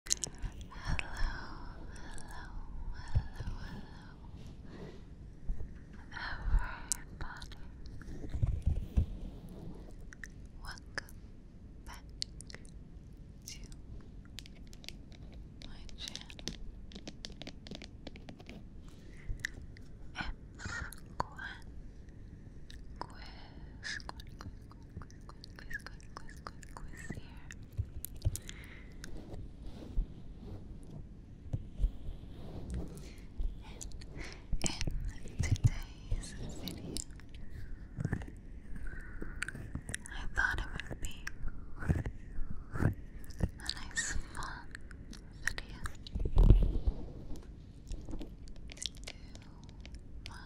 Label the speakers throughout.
Speaker 1: hello, hello, everybody. Welcome back to my channel. It's Gwen, Gwen, Gwen, Gwen, Gwen, Gwen, quiz, quiz, in today's video, I thought it would be a nice fun video my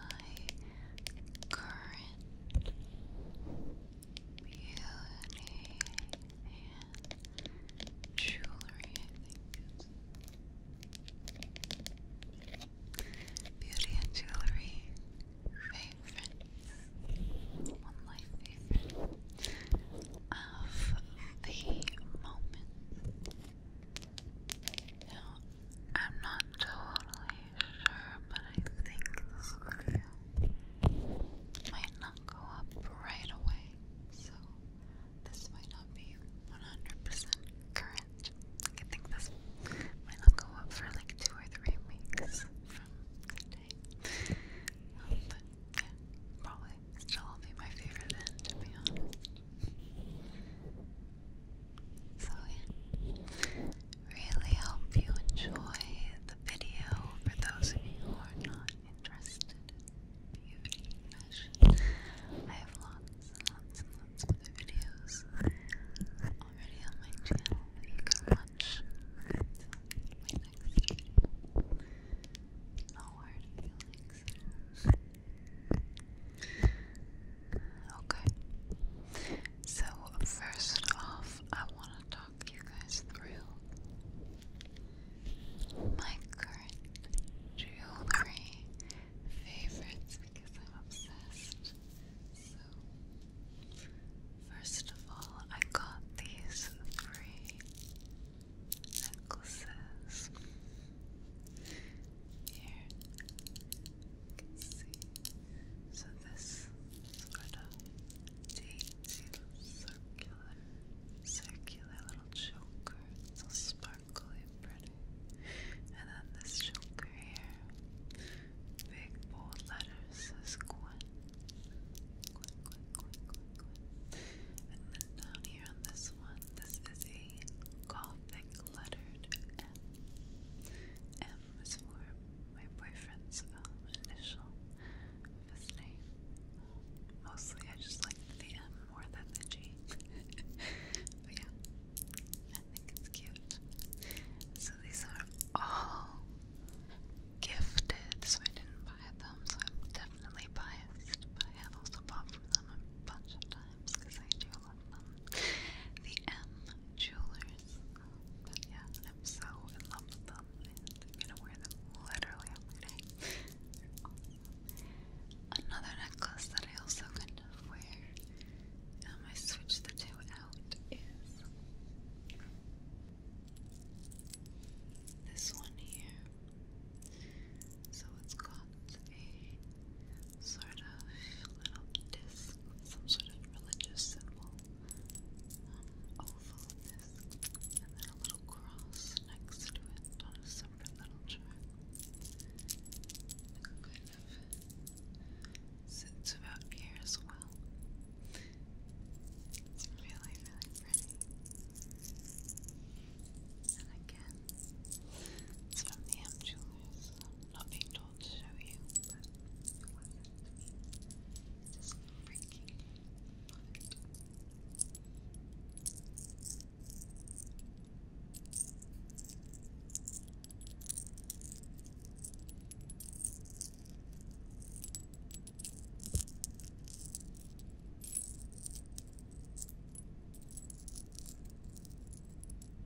Speaker 1: current beauty and jewelry, beauty and jewelry favorites, one of my of the moment. Now, I'm not totally sure, but I think this might not go up right away, so this might not be 100% current. I think this might not go up for like two or three weeks from today. Um, but yeah, probably still be my favorite end, to be honest. So really hope you enjoy the video for those of you who are not interested in beauty fashion. I have lots and lots and lots of videos already on my channel you can watch my next video. No hard feelings. Okay. So, first off, I want to talk you guys through my current jewelry favorites because I'm obsessed. So, first of all, I got these three necklaces. Here, you can see so this is sort of daisy circular, circular little choker. It's all sparkly pretty. And then this choker here. Big bold letters says Gwen. Gwen, Gwen, Gwen, Gwen, Gwen. And then down here on this one, this is a Gothic lettered M them was for my boyfriend's um, initial of his name. Um, mostly I just liked the M more than the G. but yeah, I think it's cute. So these are all gifted, so I didn't buy them, so I'm definitely biased, but I have also bought from them a bunch of times because I do love them. The M Jewelers but yeah, I'm so in love with them, I'm gonna wear them literally every Another necklace that I also kind of wear, um, I switched the two out, is this one here. So it's got a sort of little disc some sort of religious symbol, um, oval disc, and then a little cross next to it on a separate little chart. It kind of sits about here as well. It's really, really pretty. And again, it's from the M nothing told to show you, but it wasn't just freaking love it.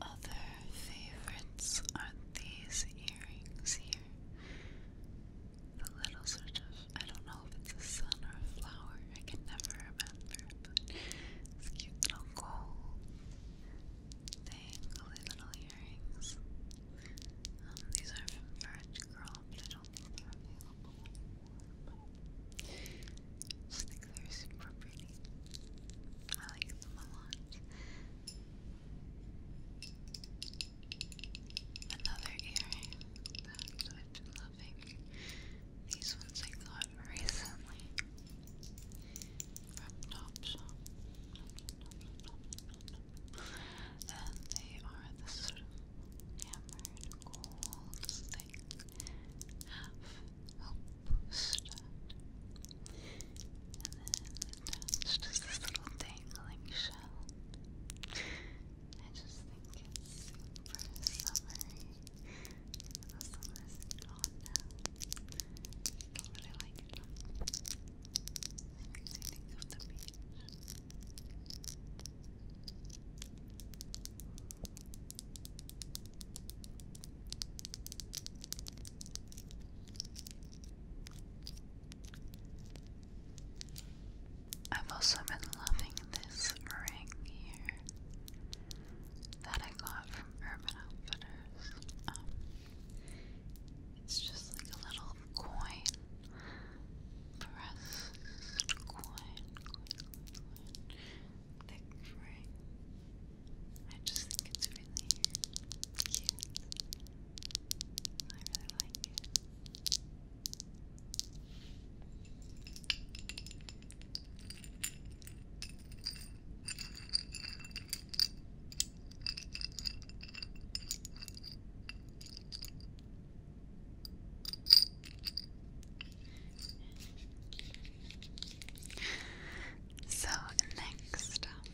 Speaker 1: Other favorites are these earrings here. The little sort of, I don't know if it's a sun or a flower, I can never remember, it's cute little gold dangly little earrings. Um, these are from Birch Girl, but I don't think they're available just think they're super pretty. I like them a lot. Another earring that I've been loving. These ones I got recently from Topshop. And they are this sort of hammered gold thing. Half help boost it. And then attached this little dangling shell. I just think it's super summery. Even though summer isn't gone now. I don't like it. It makes me think of the beach. I've also been loving this ring here that I got from Urban Outfitters. Um, it's just like a little coin, pressed coin, coin, coin, coin. I just think it's really cute. I really like it. So, next up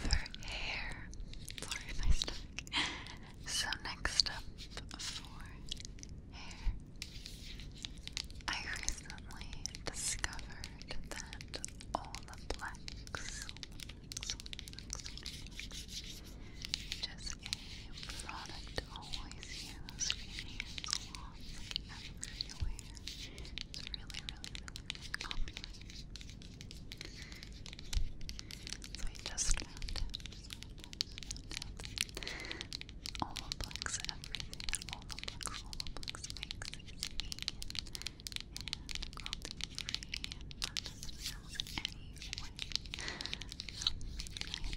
Speaker 1: for hair, sorry if I stuck. So, next up for hair, I recently discovered that Olaplex, Olaplex, Olaplex, just a product always used in hair salons, like everywhere. It's really, really, really So I just found out, just found out, Olaplex, everything that Olaplex, Olaplex makes is vegan. And cruelty free and not doesn't any way. Um, I am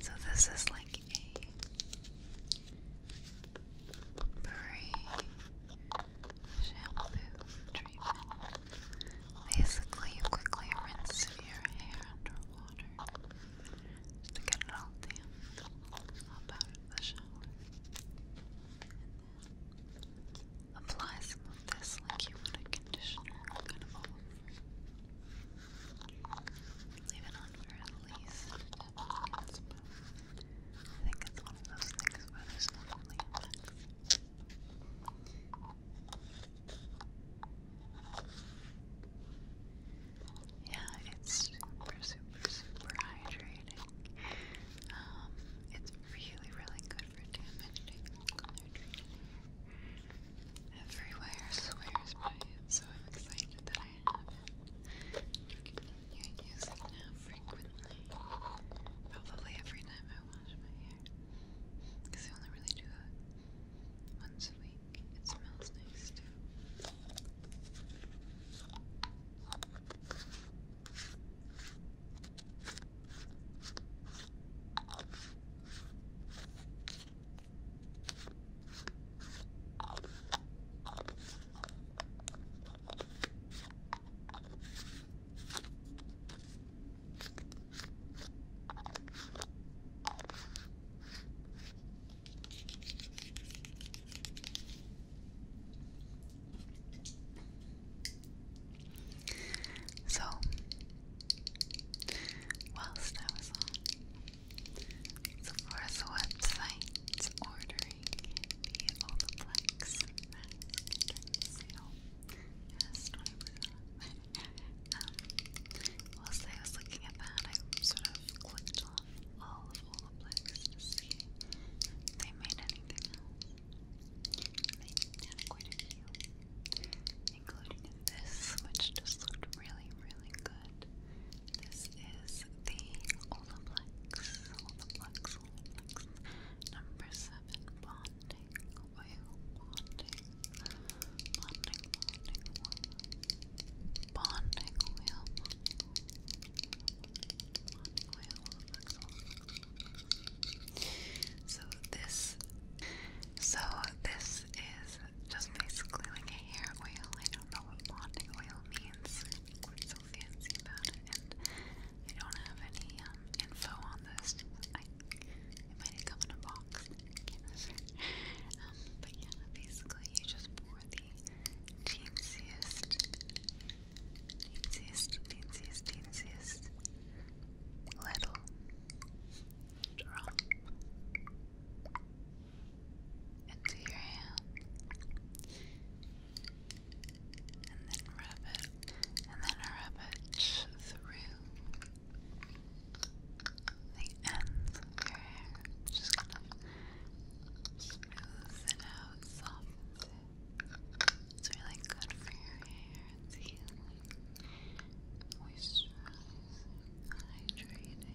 Speaker 1: So this is like a free shampoo treatment. Basically, you quickly rinse your hair under water just to get it all damp up out of the shower. And then apply some of this like you would a conditioner Leave it on for at least I think it's one of those things where there's not yeah, it's super, super, super hydrating. Um, it's really, really good for damaging hair. Everywhere swears by it, so I'm excited that I have it. using it frequently. Probably every time I wash my hair. Because I only really do it once a week. It smells nice too. So, whilst I was on Sephora's website ordering the Olaplex mask during sale, whilst I was looking at that, I sort of clicked on all of Olaplex to see they made anything They had quite including this, which just looked really, really good. This is the Olaplex, Olaplex, Olaplex number 7 Bonding Oil, Bonding, Bonding, Bonding bonding wheel. So this, so this is just basically like a hair oil. I don't know what bonding oil means. What's so fancy about it? And I don't have any um, info on this. it might come in a box. Um, but yeah, basically you just pour the jeansiest, jeansiest, jeansiest, little drum into your hand and then rub it and then rub it through the ends of your hair. Just kind of smooths it out, softens it. It's really good for your hair. It's healing, moisturizing, hydrating.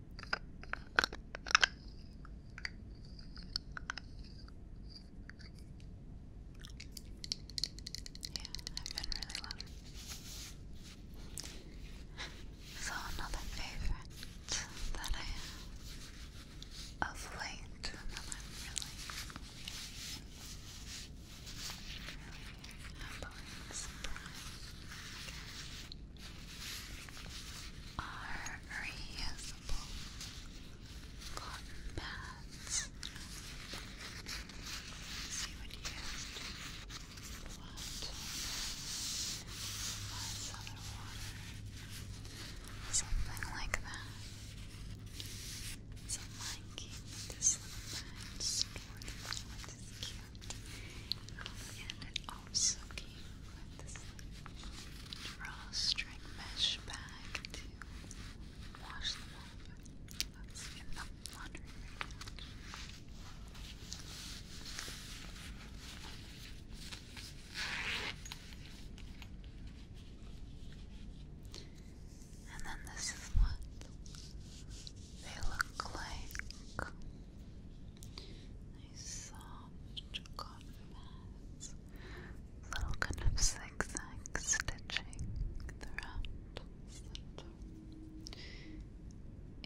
Speaker 1: Yeah, I've been really lucky. So another favorite that I have of late that I'm really, really happily surprised are reusable cotton pads. See what you used. What? other water. Something like that. So mine this little bag stored cute also came with this drawstring mesh bag to wash them off. Let's get them laundry And then this is what they look like. Nice soft cotton pads. Little kind of zigzag stitching throughout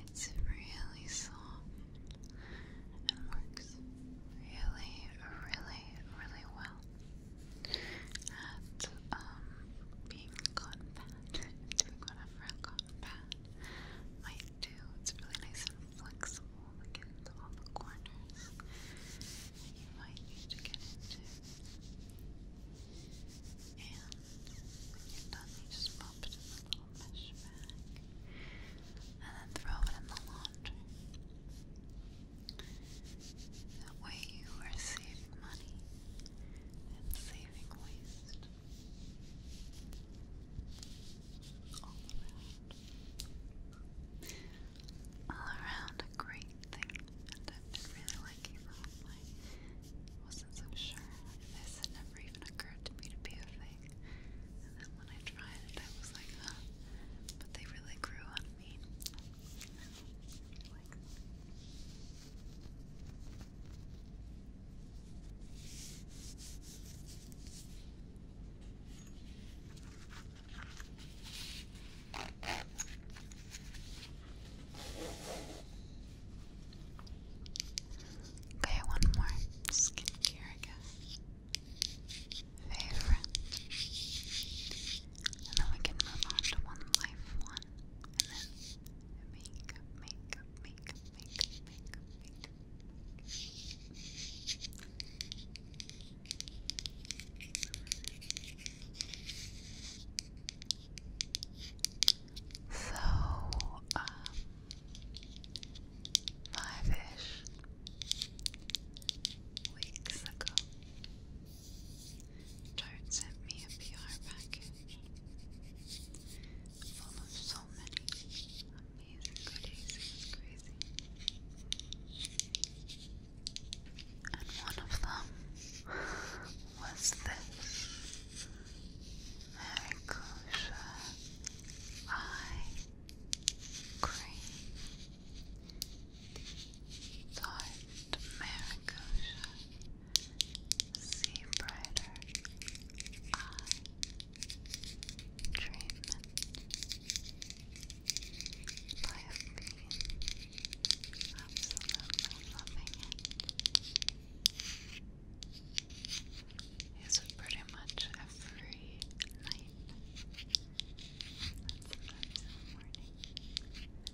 Speaker 1: It's really soft and works really, really, really well at um, being cotton pad. Doing whatever a cotton cotton might do. It's really nice and flexible again all the corners. You might need to get into. And when you're done, you just pop it in the little mesh bag and then throw it in the laundry. That way you are saving money and saving waste all around. a great thing, and I've really liking that. wasn't so sure. This had never even occurred to me to be a thing. And then when I tried it, I was like, huh. But they really grew on me. Okay, one more skincare, I guess. Favorite. And then we can move on to one life one. And then makeup, makeup, makeup makeup, makeup, So, um, five ish weeks ago, Tart sent me a PR package full of so many amazing goodies. And one of them was this Maricosia eye cream. Tart Maricosia see brighter eye treatment I have absolutely loving it. It's pretty much every night. Sometimes in the morning.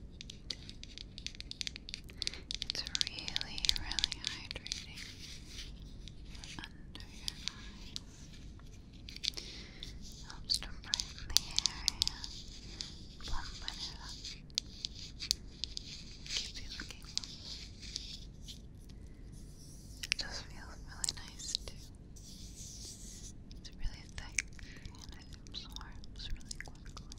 Speaker 1: It's really, really hydrating under your eyes. Helps to brighten the area, plump it up, keeps you looking lovely. It just feels really nice too. It's really thick and it absorbs really quickly.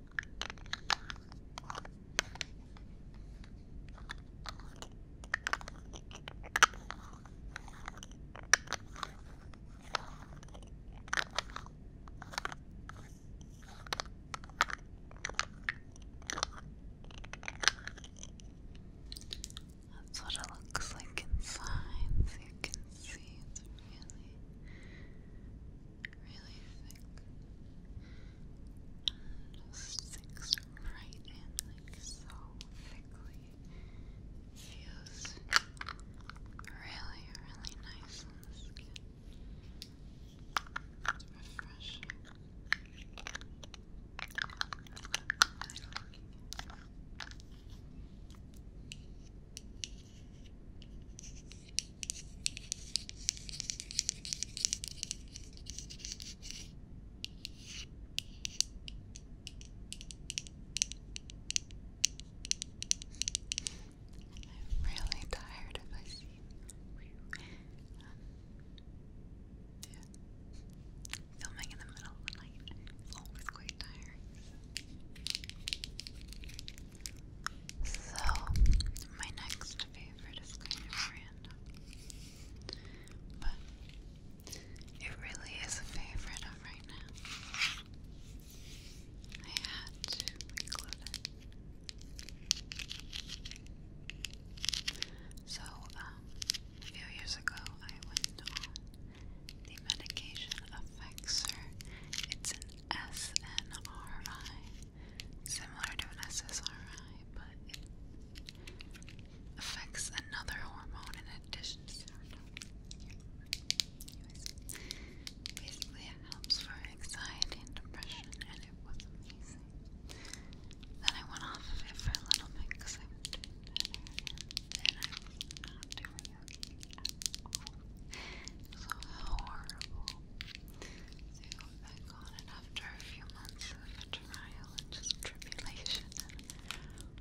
Speaker 1: That's what it looks like inside, you can see it's really really thick. just sticks right in like so thickly. Feels really, really nice on the skin. It's refreshing. I'm really tired of my seat. yeah. Filming in the middle of the night is always quite tiring. So, my next favorite is kind of random, but it really is a favorite of right now. I had to include it. So, um, a few years ago, I went on the medication of It's an SNRI similar to an SSRI, but it affects another hormone in addition to serotonin. Basically, it helps for anxiety and depression, and it was amazing. Then I went off of it for a little bit because I was doing better, and I was not doing It was horrible. So you go back after a few months of trial and just tribulation and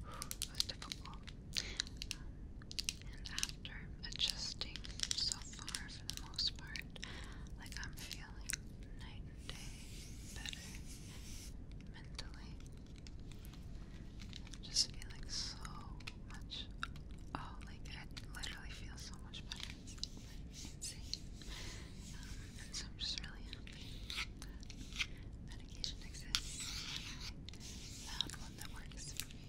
Speaker 1: was difficult. and after adjusting so far for the most part, like I'm feeling night and day better mentally. just feeling so much oh like I literally feel so much better is insane. Um, so I'm just really happy that medication exists and one that works for me.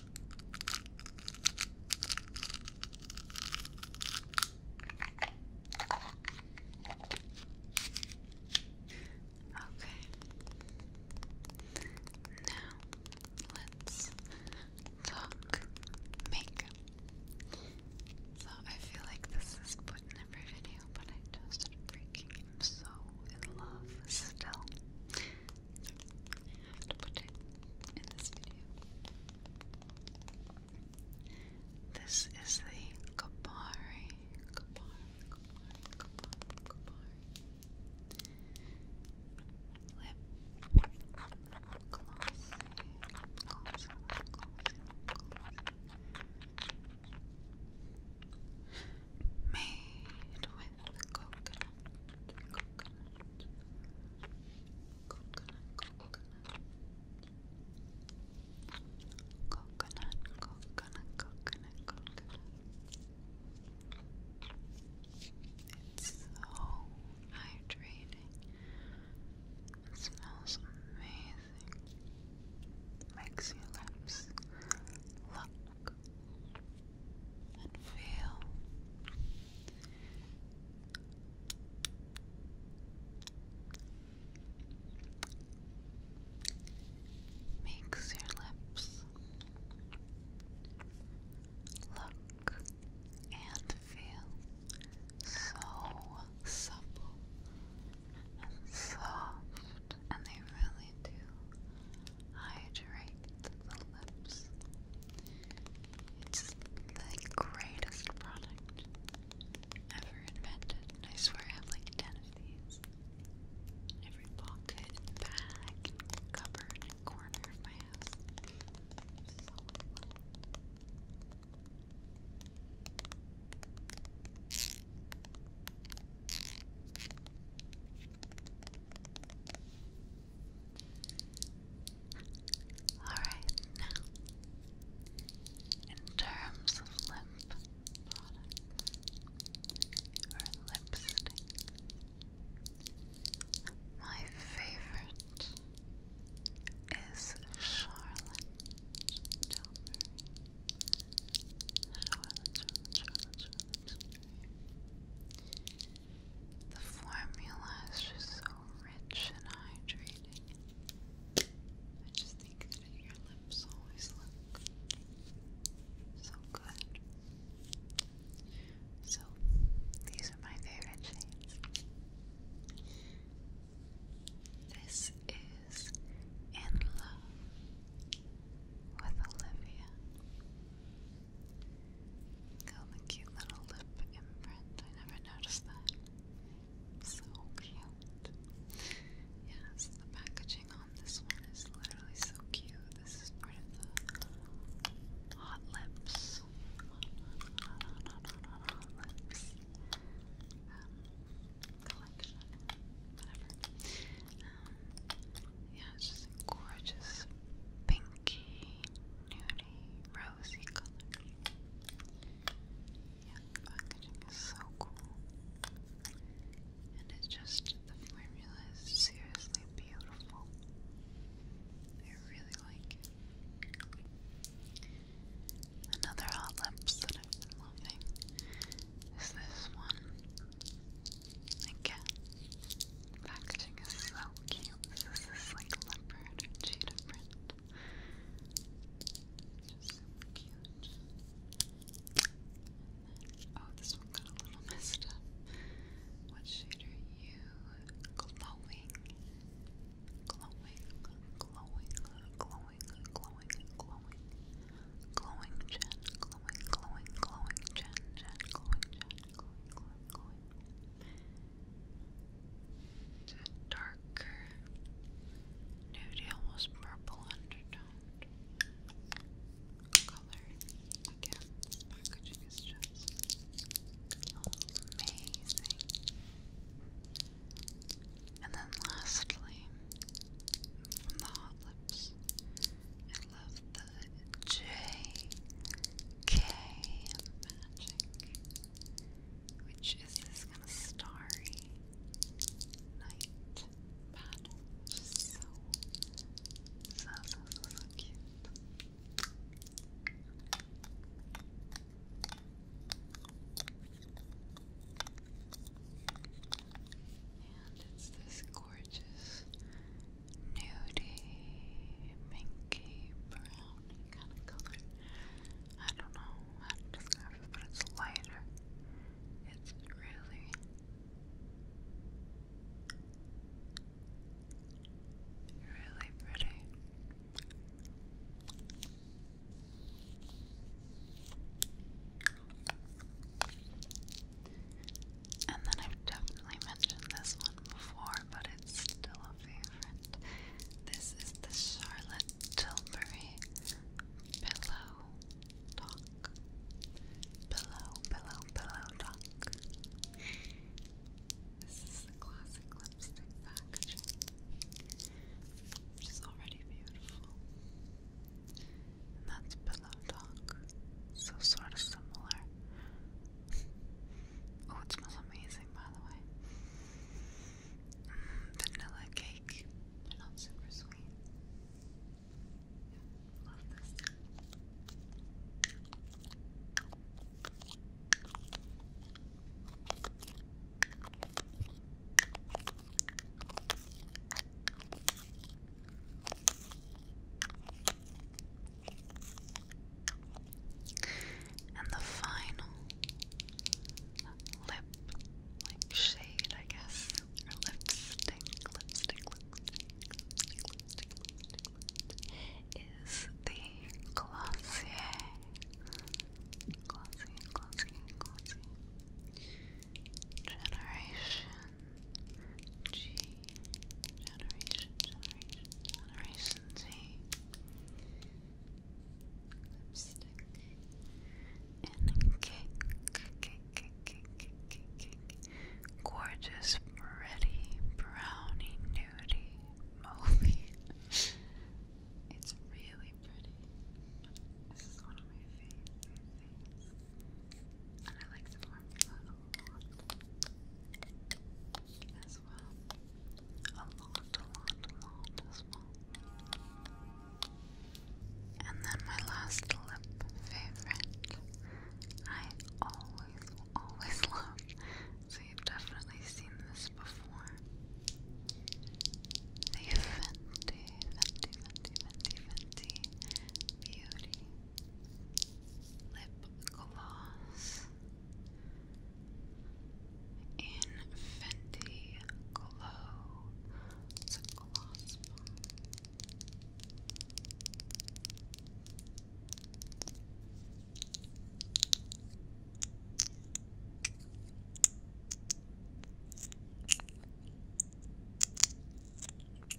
Speaker 1: Okay. Now let's talk makeup. So I feel like this is put in every video, but I just started so in love still this is the Kabari, Kabari, Kabari, Kabari, Kabari lip Made with with coconut, coconut, coconut, coconut, coconut, coconut, coconut, coconut. It's so hydrating. smells amazing. Makes your lips look and feel makes your lips look and feel so supple and soft, and they really do hydrate the lips. It's the greatest product ever invented. I swear I have like 10 of these. every pocket, bag, cupboard, corner of my house. So I Alright, in terms of lip products or lipstick, my favorite is Charlotte Charlotte Tilbury. The formula is just so rich and hydrating. I just think that your lips always look so good. So, these are my favorite shades. This is In Love with Olivia. Oh, the cute little lip imprint. I never noticed that. So cute. Yes, the packaging on this one is literally so cute. This is part of the hot lips. Hot, lips. Um, collection. Um, yeah, just gorgeous pinky nudie, rosy color. Yeah, packaging is so cool. And it's just, the formula is seriously beautiful. I really like it. Another hot lips that I've been loving is this one. Again, packaging is so cute. This is like leopard or cheetah print. Just super cute. oh, this one got a little messed up. What shade are you? Glowing. Glowing, glowing, glowing, glowing, glowing. Glowing Jen, glowing, glowing, glowing Jen, Jen, glowing Jen going, going, darker, nudie, almost purple undertone color. Again, packaging is just amazing. And then lastly, from the hot lips love the JK magic, which is this kind of starry night pattern, which is so, so, so, so cute. And it's this gorgeous nudie, minky, browny kind of color. I don't know how to describe it, but it's lighter. It's really really pretty. And then I've definitely mentioned this one before, but it's still a favorite. This is the Charlotte Tilbury Pillow Talk. Pillow, pillow, pillow talk. This is the classic lipstick packaging, which is already beautiful. And that's Pillow Talk, so sort of similar. Oh, it smells amazing, by the way. Mm, vanilla cake. They're not super sweet. Yeah, love this. And the final lip, shade, I guess, lipstick, lipstick, lipstick, lipstick, lipstick, lipstick is the Glossier. Glossier, Glossier, Glossier. Generation G Generation, Z. Lipstick. And cake, cake, cake, cake, cake, cake. Gorgeous, pretty, brownie, nudie, movie. it's really pretty. This is one of my favorite And I like the formula as well. A lot, a lot, a lot as well. And then my last lip favorite. I always, always love. So you've definitely seen this before. The Fenty, Fenty, Fenty, Fenty, Fenty Beauty lip gloss in Fenty Glow. It's gloss then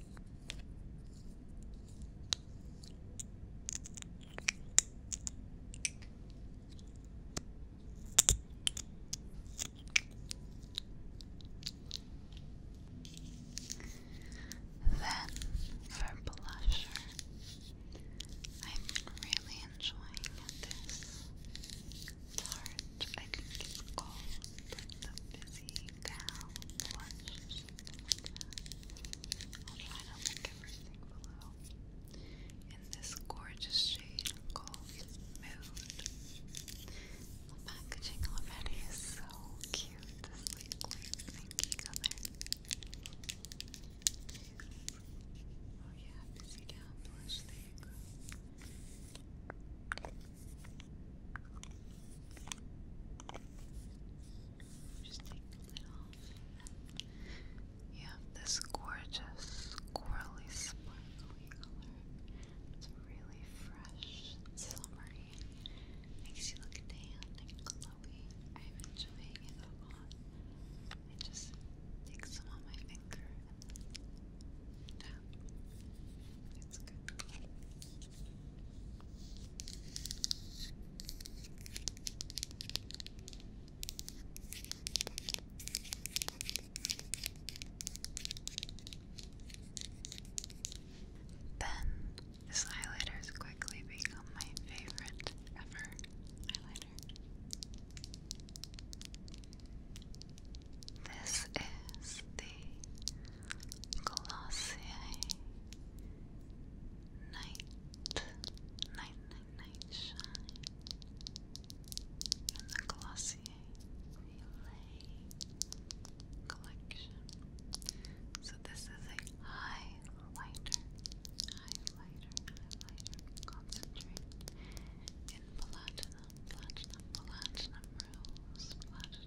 Speaker 1: for blusher, I'm really enjoying this tart. I think it's called the Busy Gal Blush. I'll try to link everything below in this gorgeous shade called Mood. The packaging already is so cute, this like light pinky color. Oh yeah, busy down blush, there you you have this gorgeous squirrely sparkly color. It's really fresh summery. Makes you look tan and glowy. I'm enjoying it a lot. I just take some on my finger and It's good. Then, this highlighter's quickly become my favorite ever highlighter. This is the Glossier night, night, night, night shine in the Glossier Relay collection. So this is a highlighter, highlighter, highlighter concentrate in platinum, platinum, platinum rose, platinum rose.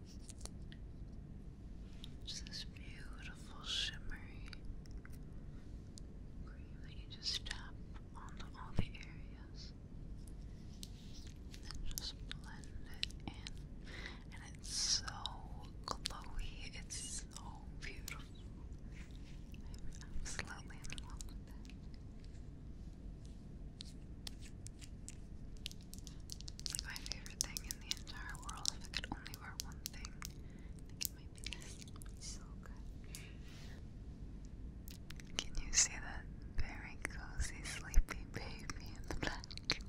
Speaker 1: Just this beautiful shimmery cream that you just tap on all the areas. And just blend it in. And it's so glowy. It's so beautiful. I'm absolutely in love with it. Like my favorite thing in the entire world, if I could only wear one thing, I think it so good. Can you see that very cozy, sleepy baby in the back?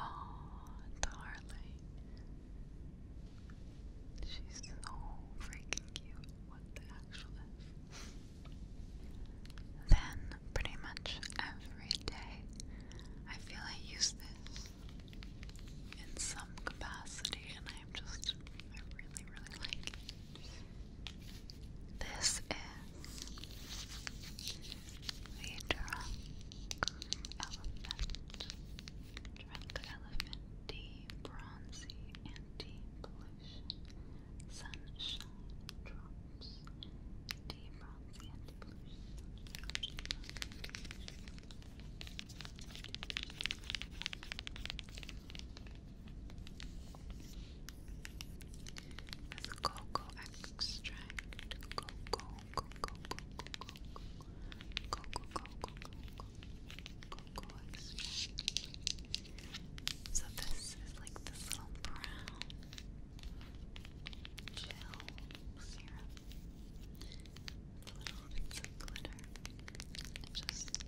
Speaker 1: oh, darling. She's so freaking cute. What the actual F? Then, pretty much every day, I feel I use this in some capacity, and I'm just, I really, really like This is the Drunk Elephant. Drunk Elephant D Bronzy Anti Blue sunshine drops, deep bronze and blue. This cocoa extract, cocoa, cocoa, cocoa, cocoa, cocoa, cocoa, cocoa, cocoa extract. So this is like this little brown gel serum. Little bits of glitter. just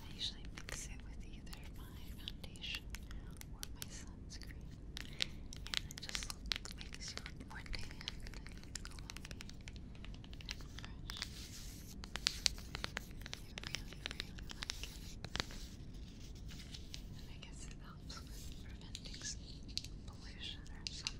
Speaker 1: I usually mix it with either my foundation or my sunscreen. And it just makes you look more tan and glowy and fresh. I really, really like it. And I guess it preventing pollution or something.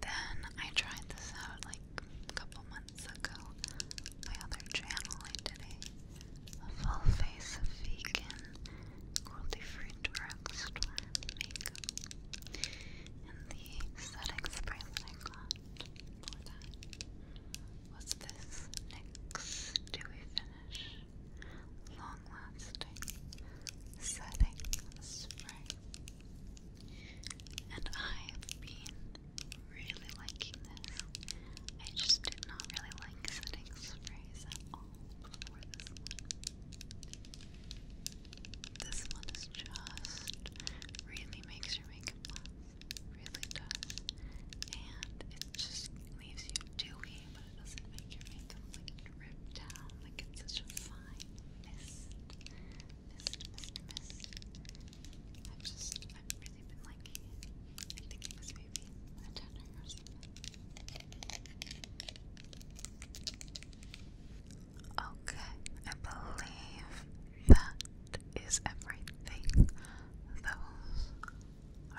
Speaker 1: Then I tried this out like a couple months months ago, my other channel I did a, full face of vegan, cruelty-free direct makeup. And the setting spray that I got was this NYX Dewy Finish Long Lasting Setting Spray. And I've been really liking this. I just did not really like setting sprays at all before this one. This one is just really makes your makeup last. Really does. And it just leaves you dewy, but it doesn't make your makeup look ripped down. Like it's such a fine mist. Mist, mist, i just, really Okay, I believe that is everything. Those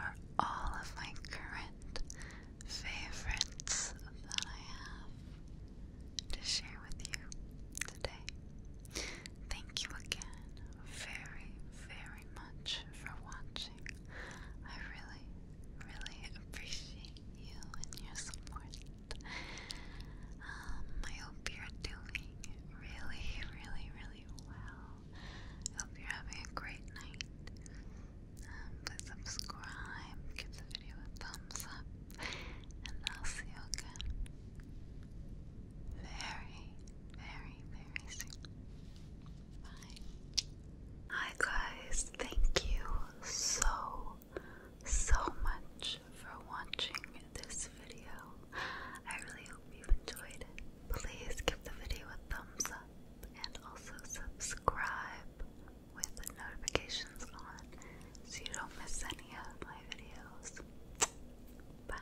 Speaker 1: are all of my current favorites that I have to share with you today. Thank you again very, very much for watching. I really, really appreciate you and your support. Um, I hope you're doing really, really, really well. I hope you're having a great night. Um, please subscribe, give the video a thumbs up, and I'll see you again. Hi guys, thank you so, so much for watching this video. I really hope you've enjoyed it. Please give the video a thumbs up and also subscribe with the notifications on so you don't miss any of my videos. Bye.